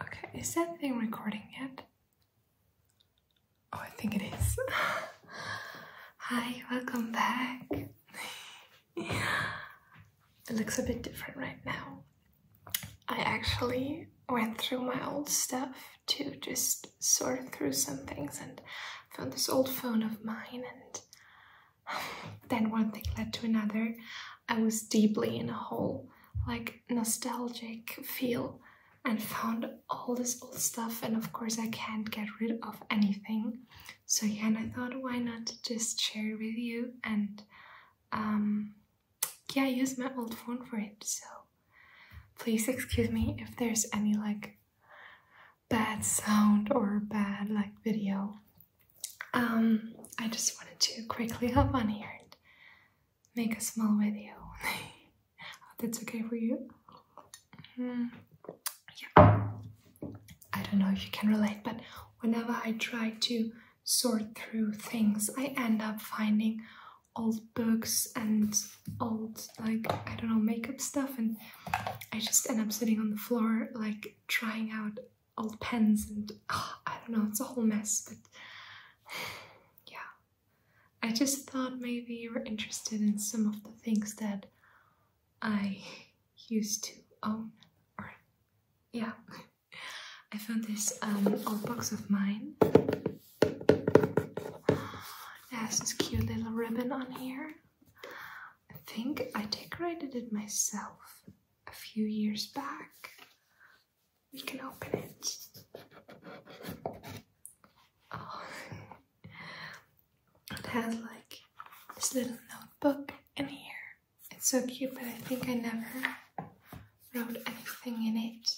Okay, is that thing recording yet? Oh, I think it is. Hi, welcome back. it looks a bit different right now. I actually went through my old stuff to just sort through some things and found this old phone of mine and then one thing led to another. I was deeply in a hole, like nostalgic feel, and found all this old stuff. And of course, I can't get rid of anything. So yeah, and I thought, why not just share with you and um, yeah, use my old phone for it. So please excuse me if there's any like bad sound or bad like video um, I just wanted to quickly hop on here and make a small video. If that's okay for you. Mm, yeah. I don't know if you can relate, but whenever I try to sort through things, I end up finding old books and old like I don't know makeup stuff and I just end up sitting on the floor like trying out old pens and ah, I don't know, it's a whole mess, but yeah. I just thought maybe you were interested in some of the things that I used to own, yeah. I found this um, old box of mine. It has this cute little ribbon on here. I think I decorated it myself a few years back. We can open it. Oh. It has like this little notebook in here. It's so cute, but I think I never wrote anything in it.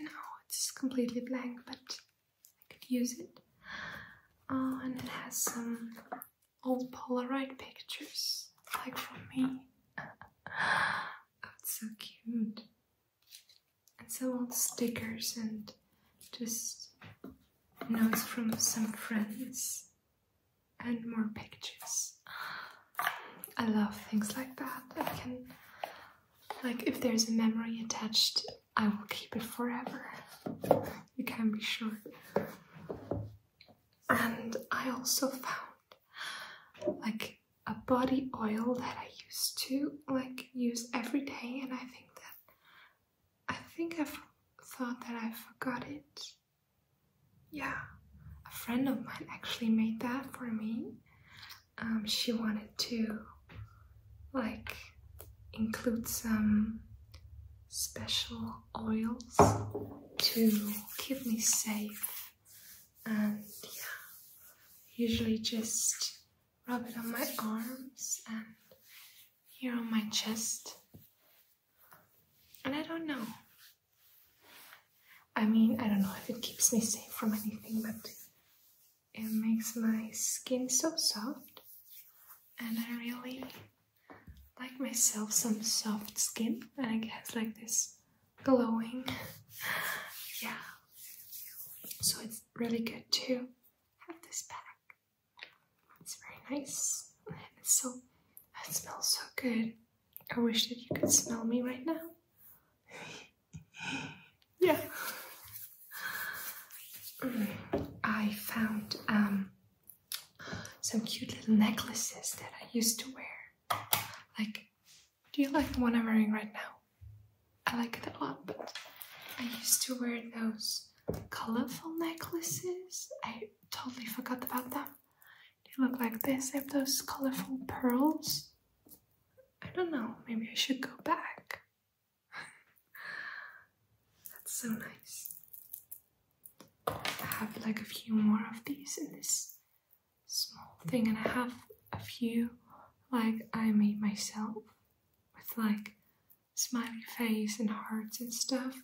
No, it's completely blank, but I could use it. Oh, and it has some old Polaroid pictures, like from me. oh, it's so cute. And some old stickers and just notes from some friends and more pictures. I love things like that. I can, like, if there's a memory attached, I will keep it forever you can be sure. And I also found like a body oil that I used to like use every day, and I think that I think I have thought that I forgot it. Yeah, a friend of mine actually made that for me. Um, she wanted to like include some special oils to keep me safe and yeah usually just rub it on my arms and here on my chest and I don't know I mean I don't know if it keeps me safe from anything but it makes my skin so soft and I really like myself some soft skin and I guess like this glowing yeah so it's really good too. have this back it's very nice so it smells so good I wish that you could smell me right now yeah I found um, some cute little necklaces that I used to wear. Like, do you like the one I'm wearing right now? I like it a lot, but I used to wear those colorful necklaces. I totally forgot about them. They look like this. They have those colorful pearls. I don't know, maybe I should go back. That's so nice. I have like a few more of these in this small thing, and I have a few like I made myself with like smiley face and hearts and stuff.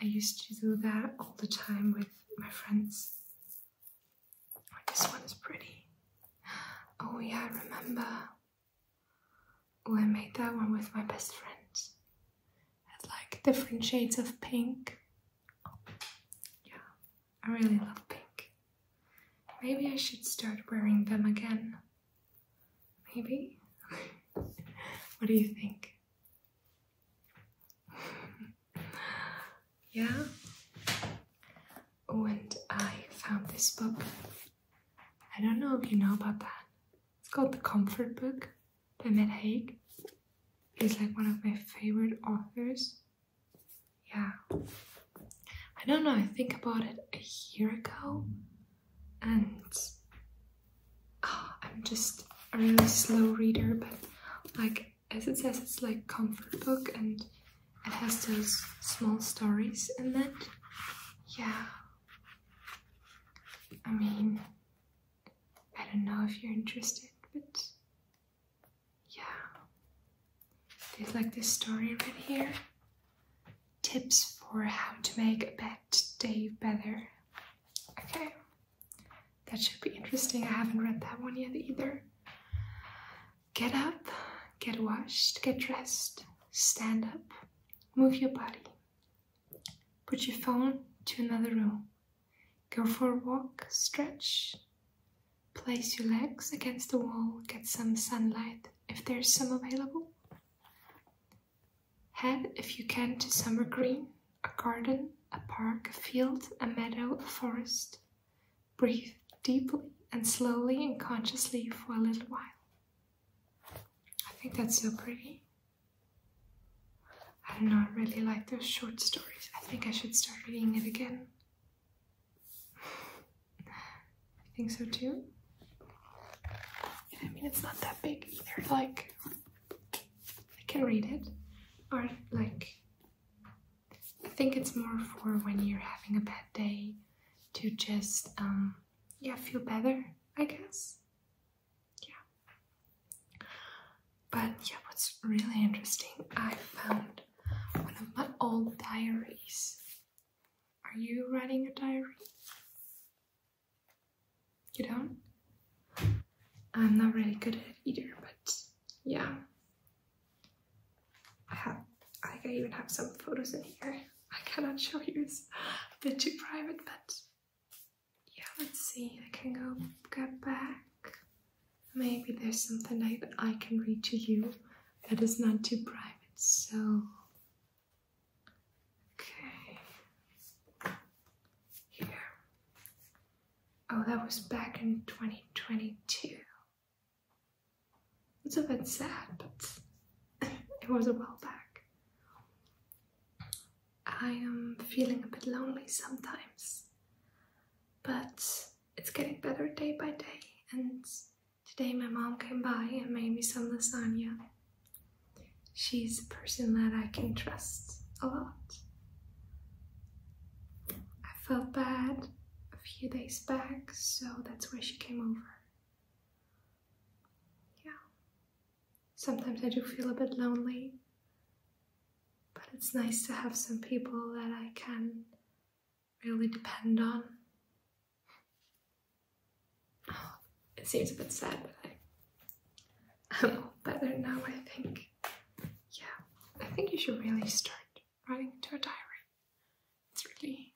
I used to do that all the time with my friends. this one is pretty. Oh, yeah, I remember. Oh, I made that one with my best friends. Had like different shades of pink. yeah, I really love pink. Maybe I should start wearing them again. Maybe? what do you think? yeah? Oh, and I found this book I don't know if you know about that. It's called The Comfort Book by Matt Haig. He's like one of my favorite authors. Yeah. I don't know, I think about it a year ago and ah, I'm just a really slow reader, but like as it says, it's like comfort book and it has those small stories in it. Yeah. I mean, I don't know if you're interested, but yeah. There's like this story right here tips for how to make a bad day better. Okay, that should be interesting. I haven't read that one yet either. Get up, get washed, get dressed, stand up, move your body. Put your phone to another room. Go for a walk, stretch. Place your legs against the wall, get some sunlight if there's some available. Head, if you can, to summer green, a garden, a park, a field, a meadow, a forest, Breathe deeply and slowly and consciously for a little while. I think that's so pretty. I don't know, I really like those short stories. I think I should start reading it again. I think so too. I mean, it's not that big either. Like, I can read it, or like, I think it's more for when you're having a bad day to just, um, yeah, feel better, I guess. Yeah. But yeah, what's really interesting, I found one of my old diaries. Are you writing a diary? You don't? I'm not really good at either, but yeah, I have, I think I even have some photos in here. I cannot show you, it's a bit too private, but yeah, let's see. I can go get back. Maybe there's something that I can read to you that is not too private, so. Okay. Here. Oh, that was back in 2022. It's a bit sad, but it was a while back. I am feeling a bit lonely sometimes, but it's getting better day by day. And today my mom came by and made me some lasagna. She's a person that I can trust a lot. I felt bad a few days back, so that's where she came over. Yeah. Sometimes I do feel a bit lonely, but it's nice to have some people that I can really depend on. Oh, it seems a bit sad, but I, I'm all better now, I think. Yeah, I think you should really start writing into a diary. It's really,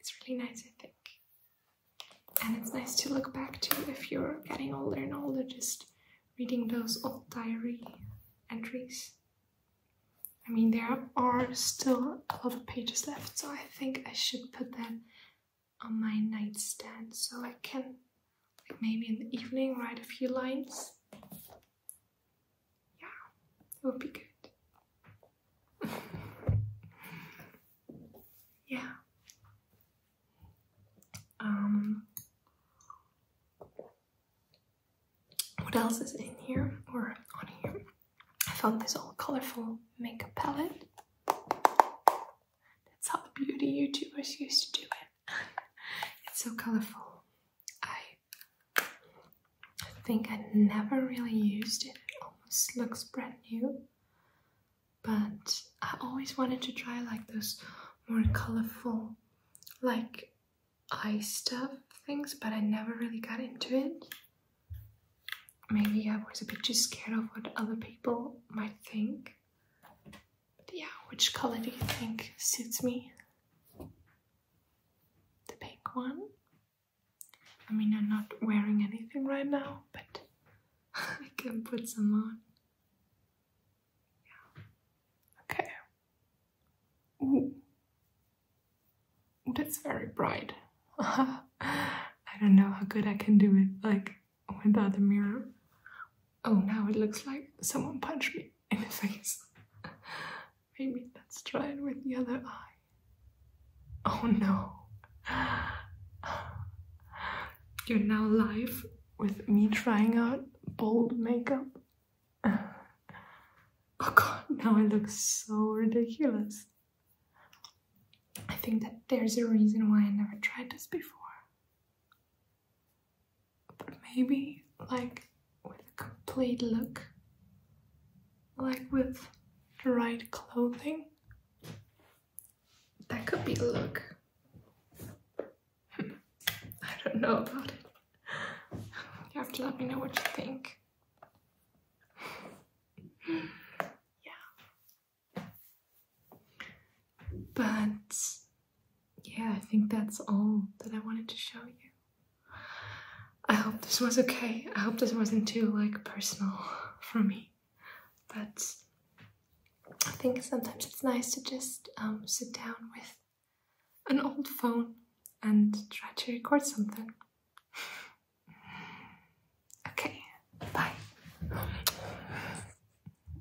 it's really nice, I think. And it's nice to look back to if you're getting older and older, just reading those old diary entries. I mean, there are still a lot of pages left, so I think I should put that on my nightstand so I can, like maybe in the evening, write a few lines. Yeah, it would be good. yeah. Um what else is in here or on here? I found this all colorful makeup palette. That's how beauty YouTubers used to do it. it's so colorful. I I think I never really used it. It almost looks brand new. But I always wanted to try like those more colorful, like eye stuff things, but I never really got into it. Maybe I was a bit too scared of what other people might think yeah, which color do you think suits me? The pink one? I mean, I'm not wearing anything right now, but I can put some on. Yeah. Okay. Ooh. That's very bright. I don't know how good I can do it, like, without the mirror. Oh, now it looks like someone punched me. in his face. Maybe let's try it with the other eye. Oh no. You're now live with me trying out bold makeup. Oh god, now I look so ridiculous. I think that there's a reason why I never tried this before but maybe like with a complete look, like with the right clothing. That could be a look. I don't know about it. You have to let me know what you think. yeah. But yeah, I think that's all that I wanted to show you. I hope this was okay. I hope this wasn't too like personal for me. But I think sometimes it's nice to just um, sit down with an old phone and try to record something. okay, bye.